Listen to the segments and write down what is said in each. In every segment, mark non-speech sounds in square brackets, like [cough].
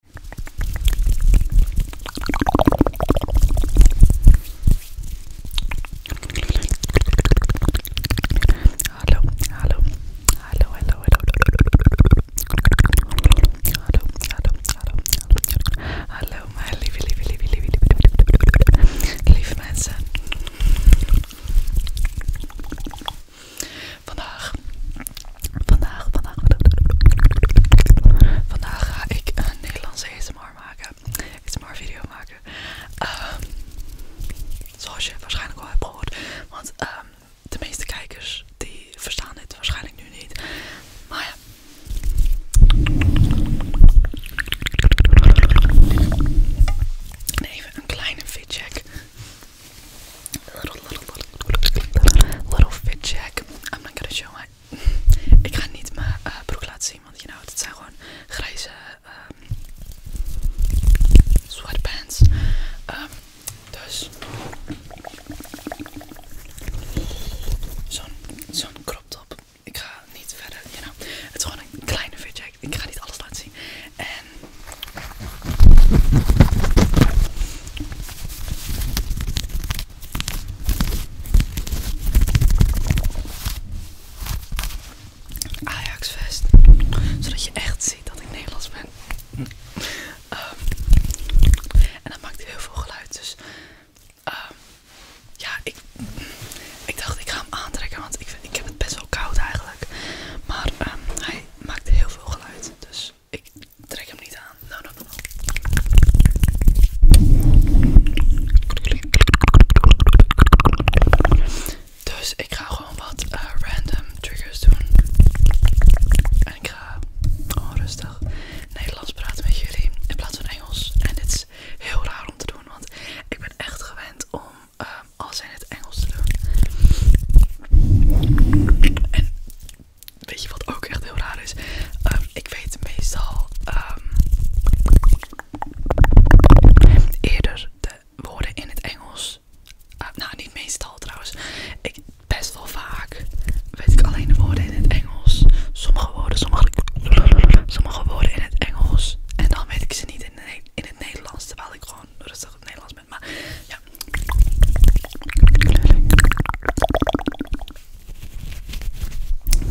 Hello, hello, hello, hello, hello, hello, hello, hello, hello, my livy, livy, livy, livy, livy, livy, livy, Vandaag, vandaag, vandaag, vandaag ga ik een Nederlandse ASMR maken, ASMR video maken. Ehm, zoals je waarschijnlijk al hebt gehoord, want ehm, de meeste kijkers die verstaan dit waarschijnlijk nu niet. Maar ja. Even een kleine fit Little, little, little, little fit check. I'm not gonna show my... Ik ga niet mijn eh, broek laten zien, want je nou, know, het zijn gewoon grijze ehm, sweatpants. Ehm, dus... Zo'n crop top. Ik ga niet verder, you know. Het is gewoon een kleine fit check. Ik ga niet alles laten zien. En Ajax vest, zodat je echt ziet dat ik Nederlands ben. Ehm, en dat maakt hij heel veel geluid. Dus ehm, ja, ik, dacht ik ga hem aantrekken, want ik, ik heb het best wel koud eigenlijk. Maar ehm, hij maakt heel veel geluid, dus ik trek hem niet aan. Nou, nou, nou. Dus ik ga gewoon wat eh, random triggers doen. En ik ga gewoon oh, rustig Nederlands praten met jullie in plaats van Engels. En dit is heel raar om te doen, want ik ben echt gewend om Ehm, als in het Engels doen. En weet je wat ook echt heel raar is? Ehm, ik weet meestal ehm, eerder de woorden in het Engels. Ah, nou, niet meestal trouwens. best wel vaak weet ik alleen de woorden in het Engels. Sommige woorden, sommige, woorden in het Engels. En dan weet ik ze niet in, in het Nederlands. Terwijl ik gewoon rustig het Nederlands ben ja.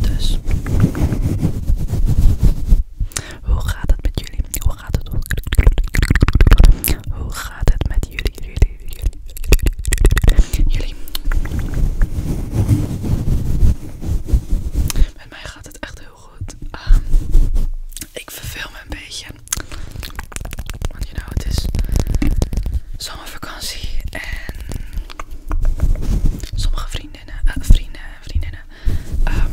Dus. Hoe gaat het met jullie? Hoe gaat het? Hoe gaat het met jullie? Jullie. jullie, jullie. Met mij gaat het echt heel goed. Ehm, ik verveel me een beetje. Want je nou, het is zomervakantie en sommige vriendinnen, eh, vrienden en vriendinnen ehm,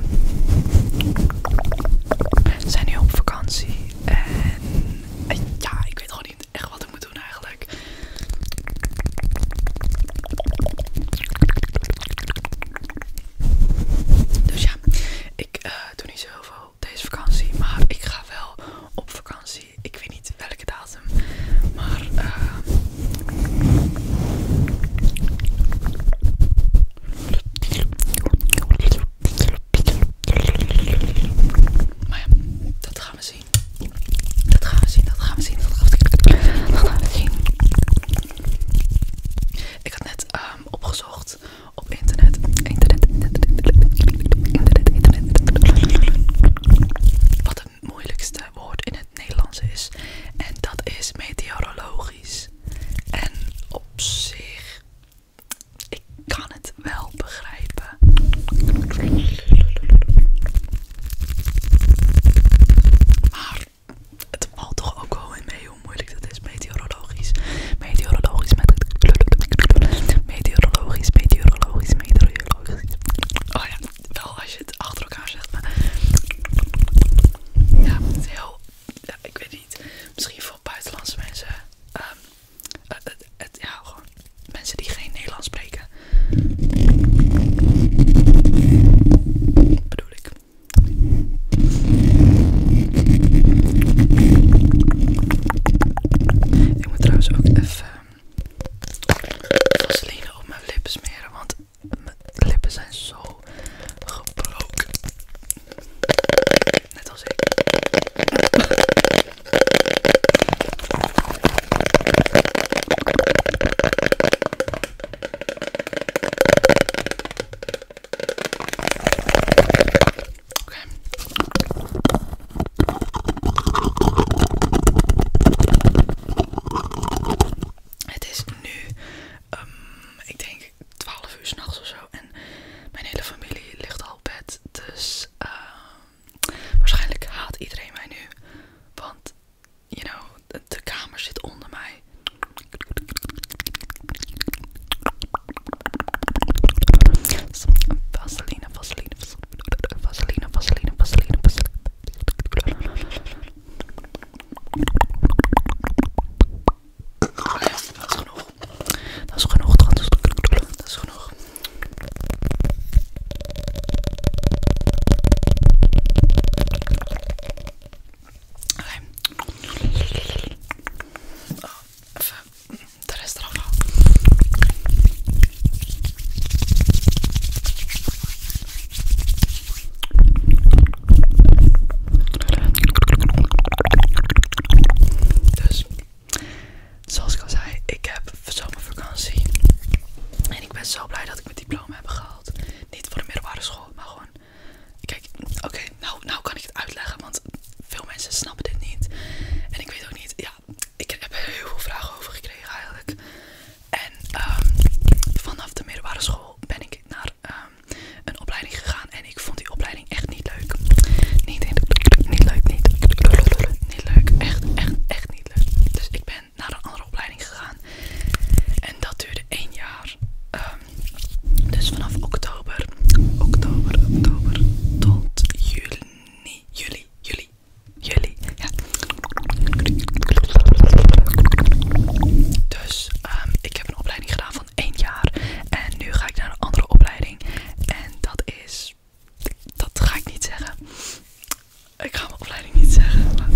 zijn nu op vakantie. En eh, ja, ik weet gewoon niet echt wat ik moet doen eigenlijk. Dus ja ik eh, doe niet zo heel veel deze vakantie, maar ik ga wel op vakantie. Ik weet niet welke datum, maar eh, maar ja, dat gaan we zien. Dat gaan we zien, dat gaan we zien, dat gaan we zien. Dat gaan we zien. Ik had net Ehm, opgezocht op internet. Internet, internet, internet, internet. Wat het moeilijkste woord in het Nederlands is. En dat is meteorologisch. En op zich, ik kan het wel begrijpen. Maar het valt toch ook wel in mee hoe moeilijk dat is meteorologisch. Meteorologisch, met het meteorologisch, meteorologisch, meteorologisch. Oh ja, wel als je het achter elkaar zegt, maar ja, het is heel, ja, ik weet niet, misschien voor buitenlandse mensen, ehm, ja, gewoon mensen die geen Nederlands spreken. Bedoel ik. Ik moet trouwens ook even vaseline op mijn lippen smeren, want mijn lippen zijn zo gebroken. Net als ik. Het is nu, ehm, ik denk 12 uur s'nachts of zo. En mijn hele familie ligt al op bed. Dus ehm, waarschijnlijk haat iedereen mij nu. Want you know, de, de kamer zit onder mij. Vaseline, vaseline, vaseline, vaseline, vaseline, vaseline, vaseline. Dat is genoeg, dat is genoeg. Dat is genoeg. Okay. Dus, zoals ik al zei, ik heb zomervakantie. En ik ben zo blij dat ik mijn diploma heb gehaald. Niet voor de middelbare school, maar gewoon. Kijk, oké, nou, nou, kan ik het uitleggen, want veel mensen snappen dit niet. En ik weet ook niet, ja, ik heb er heel veel vragen over gekregen eigenlijk. En ehm, vanaf de middelbare school ben ik naar ehm, een opleiding gegaan en ik vond die opleiding echt niet leuk. Niet, niet leuk, niet, niet leuk, echt, echt, echt niet leuk. Dus ik ben naar een andere opleiding gegaan. En dat duurde één jaar. Ehm, dus vanaf oktober, oktober, oktober tot juni, juli, juli, juli, Dus ehm, ik heb een opleiding gedaan van één jaar en nu ga ik naar een andere opleiding en dat is dat ga ik niet zeggen. Ik ga mijn opleiding niet zeggen. Maar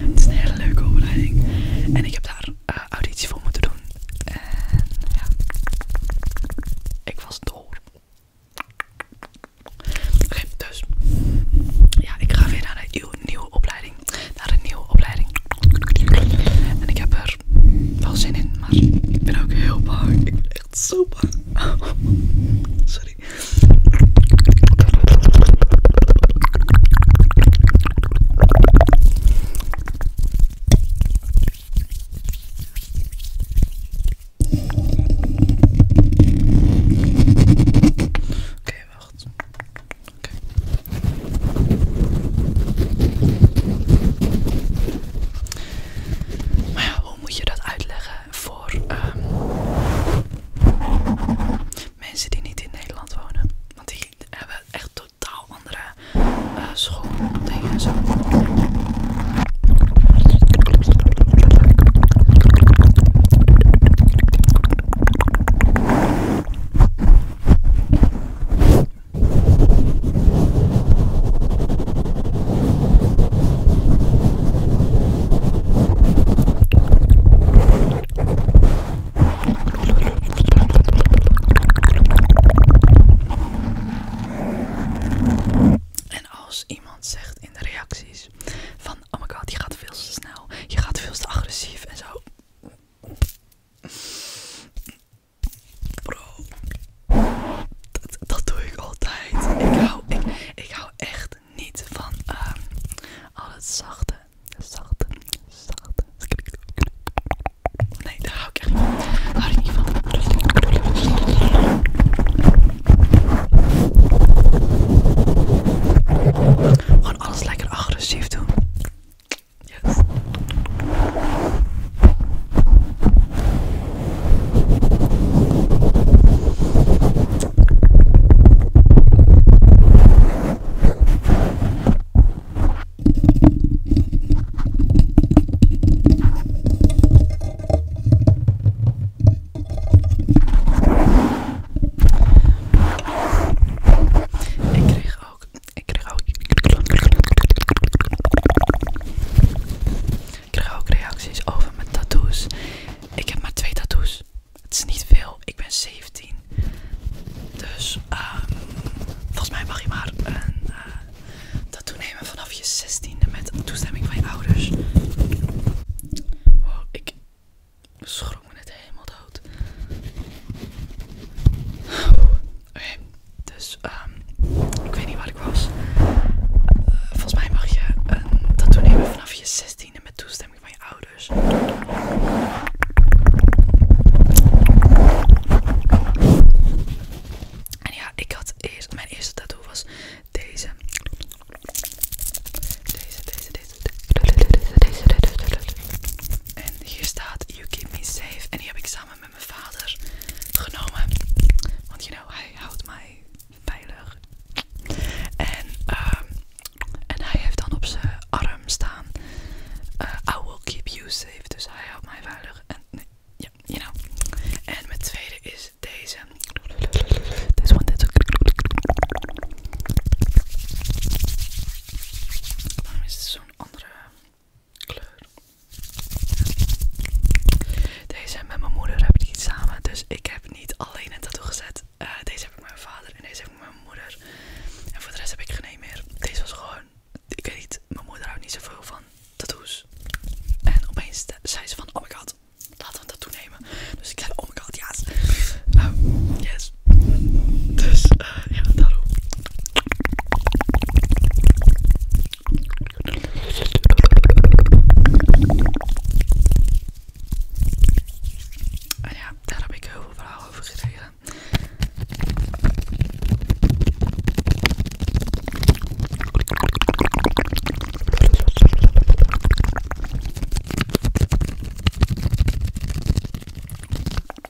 het is een hele leuke opleiding. En ik heb daar eh, auditie voor moeten doen. En ja, ik was door. Oké, heb dus ja, ik ga weer naar een nieuwe opleiding. Naar een nieuwe opleiding. En ik heb er wel zin in, maar ik ben ook heel bang. Ik echt [laughs] sorry. Oké, wacht. Okay. Maar hoe moet je dat uitleggen? voor ehm, mensen die niet in Nederland wonen. Want die hebben echt totaal andere uh, eh, schooldingen zo. En als iemand zegt in de reacties van oh my god, je gaat veel te snel, je gaat veel te agressief en zo. Bro, dat, doe ik altijd. Ik hou, ik, ik hou echt niet van alles ehm, al het zachte, zachte, zachte. Nee, daar hou ik echt niet van. Daar hou ik niet van. Gewoon alles lekker agressief doen. Yes. Ik kreeg ook, ik krijg ook reacties over mijn tattoos. Ik heb maar twee tattoos. Het is niet veel. Ik ben 17. Dus ehm, volgens mij mag je maar een eh, tattoo nemen vanaf je 16e met toestemming van je ouders. ik schrok me net helemaal dood. Oké. Dus ehm, ik weet niet wat ik was. Eh, volgens mij mag je een tattoo nemen vanaf je 16e met toestemming van je ouders. En ja, ik had eerst, mijn eerste tattoo was deze. Deze, deze, deze. Deze, En hier staat You Keep Me Safe. En die heb ik samen mijn vader genomen. Want you know, hij houdt mij veilig. En, ehm, hij heeft dan op zijn arm staan. Eh, I will keep you safe. Dus hij houdt mij veilig. En ja, je you know. En mijn tweede is deze. is one, this one. Waarom is het zo'n andere kleur. Deze en met mijn moeder heb ik niet samen, dus ik heb niet alleen een tattoo gezet. Eh, deze heb ik met mijn vader en deze heb ik met mijn moeder. En voor de rest heb ik geen meer. Deze was gewoon, ik weet niet, mijn moeder houdt niet zoveel van tattoos. En opeens zei ze van, oh my god, laten we een tattoo nemen. Dus ik zei, oh my god, ja nou, yes. Dus ja, daarom. ja, daar heb ik heel veel verhalen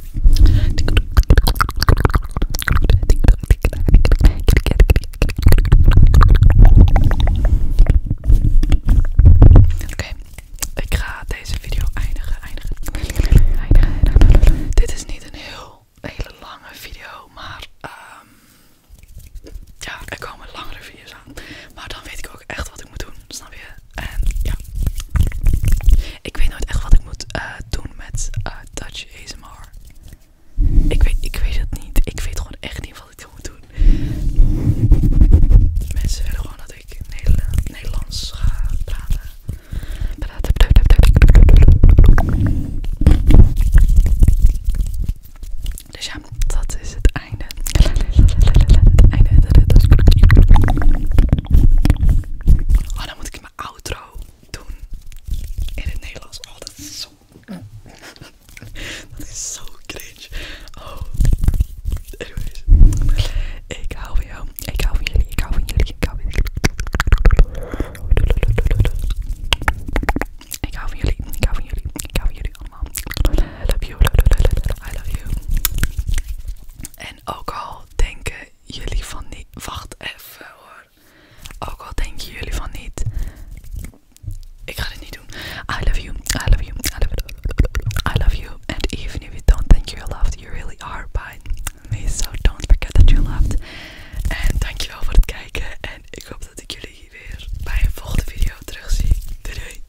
Oké, ik ga deze video eindigen, eindigen, Dit is niet een heel hele lange video, maar ehm, ja, er komen langere video's aan. Maar dan weet ik ook echt wat ik moet doen, snap je? En ja, ik weet nooit echt wat ik moet eh, doen met eh, Dutch Touch ASMR. Ik weet, ik weet het niet. Ik weet gewoon echt niet wat ik moet doen. Mensen willen gewoon dat ik Nederlands ga praten. Dus ja, dat is het einde. Het einde. Oh, dan moet ik mijn outro doen in het Nederlands. Oh, dat is zo... [laughs] dat is zo cringe. Oh. Anyways. Ik hou van jou. Ik hou van jullie. Ik hou van jullie. Ik hou van jullie. Ik hou van jullie. Ik hou van jullie. Ik hou van jullie allemaal. I love you. I love you. I love you. En ook al denken jullie van niet. Wacht even hoor. Ook al denken jullie van niet. Ik ga dit niet doen. I love you. I love you. I love, you. I love you. And even if you don't think you're loved, you really are by me. So don't forget that you're loved. En dankjewel voor het kijken. En ik hoop dat ik jullie weer bij een volgende video terug zie. doei.